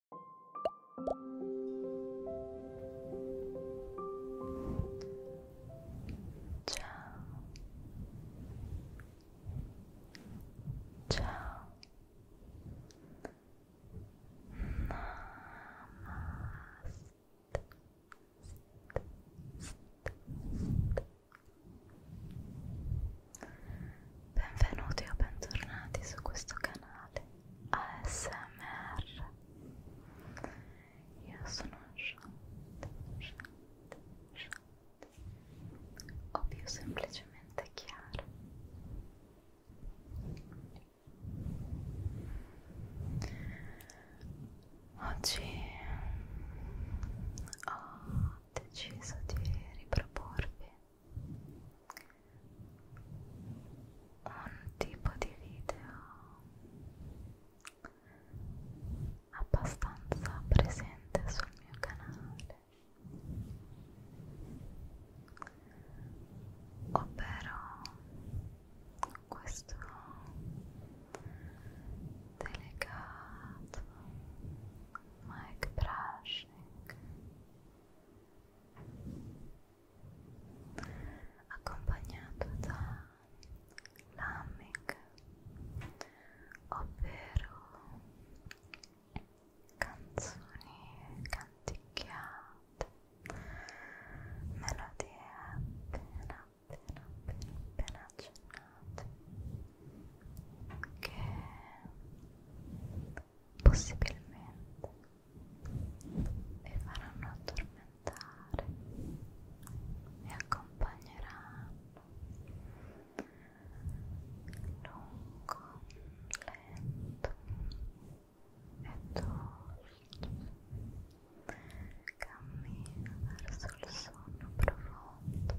Ciao. Ciao. Namaste. Benvenuti o bentornati su questo canale. ASMR io sono Shant, Shant, Shant o più semplicemente Chiara oggi ho deciso di riproporvi un tipo di video abbastanza presente sul mio canale ovvero questo delicato mic brushing accompagnato da Lamec, ovvero canzoni canticchiate, melodie appena appena appena, appena accennate che possibilmente vi faranno addormentare, vi accompagneranno lungo, lento e dolce cammino verso il sonno profondo.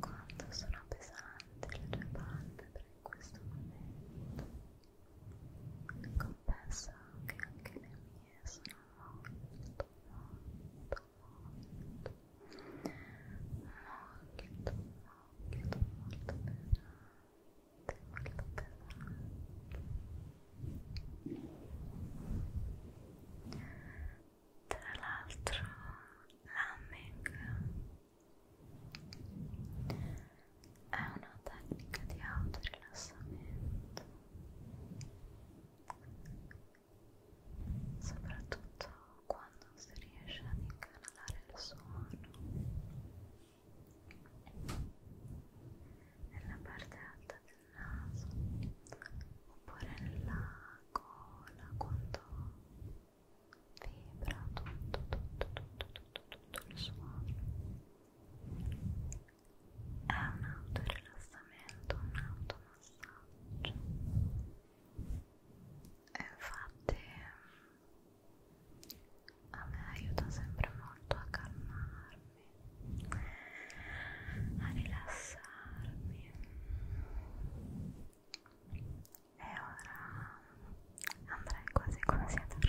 Quanto sono pesanti le tue palpebre in questo momento? confesso che anche le mie sono molto molto molto molto molto molto pesanti molto pesanti tra l'altro l'hamming è una tecnica di autorilassamento soprattutto quando si riesce ad incanalare il suono nella parte alta del naso oppure nella cola quando vibra tutto tutto tutto tutto tutto il suono è un autorilassamento, un automassaggio e infatti a me aiuta sempre molto a calmarmi, a rilassarmi e ora andrei quasi quasi a dormire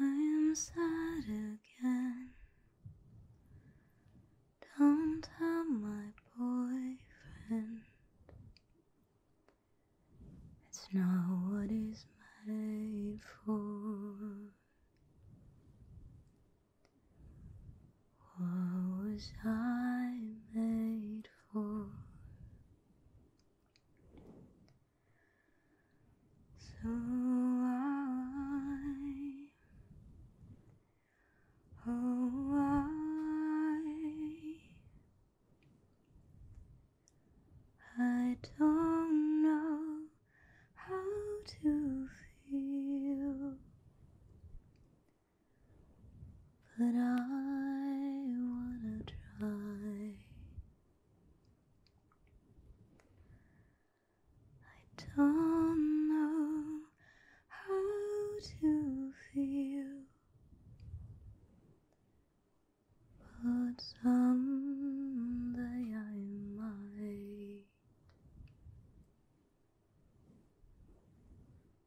I am sad again. Don't tell my boyfriend. It's not what he's made for. What was I made for? So I, oh I, I don't know how to feel. But I wanna try. I don't know how to feel, but someday I might.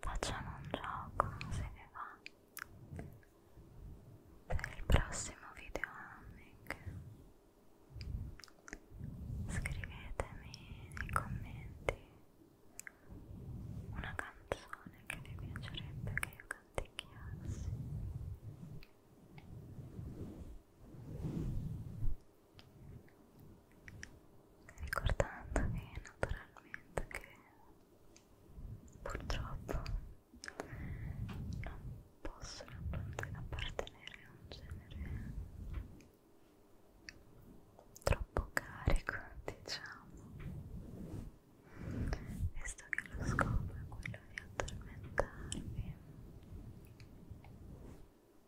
Facciamo un gioco, se vi va. Per il prossimo video hamming scrivetemi nei commenti una canzone che vi piacerebbe che io canticchiassi ricordandovi naturalmente che purtroppo non possono appartenere a un genere troppo carico diciamo visto che lo scopo è quello di addormentarvi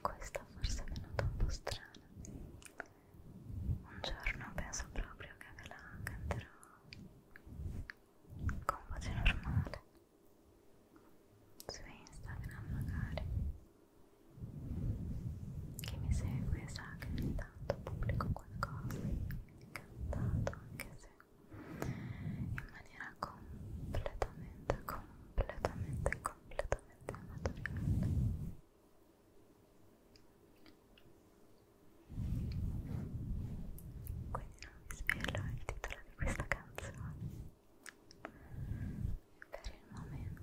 Questa forse è venuta un po' strana un giorno penso proprio che ve la canterò con voce normale su Instagram magari chi mi segue sa che ogni tanto pubblico qualcosa cantato anche se in maniera completamente completamente completamente amatoriale quindi non vi svelo il titolo di questa canzone per il momento.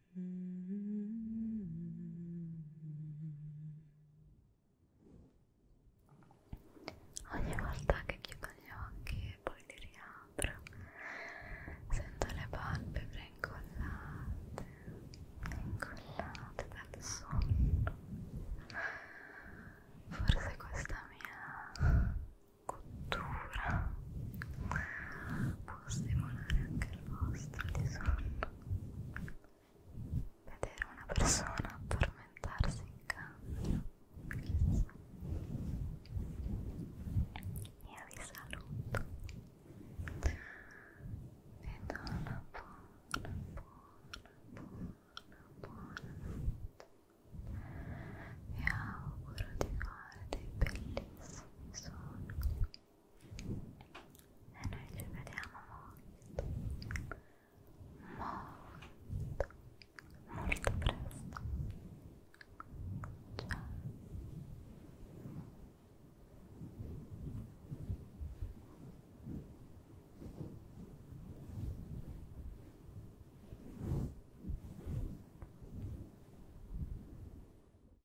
Ogni volta che chiudo gli occhi e poi li riapro, sento le palpebre incollate, incollate dal sonno. Forse questa mia cottura può stimolare anche il vostro di sonno. Vedere una persona addormentarsi in cambio. Io vi saluto e do una buona, buona, buona, buona notte. Vi auguro di fare dei bellissimi sogni e noi ci vediamo molto molto molto presto ciao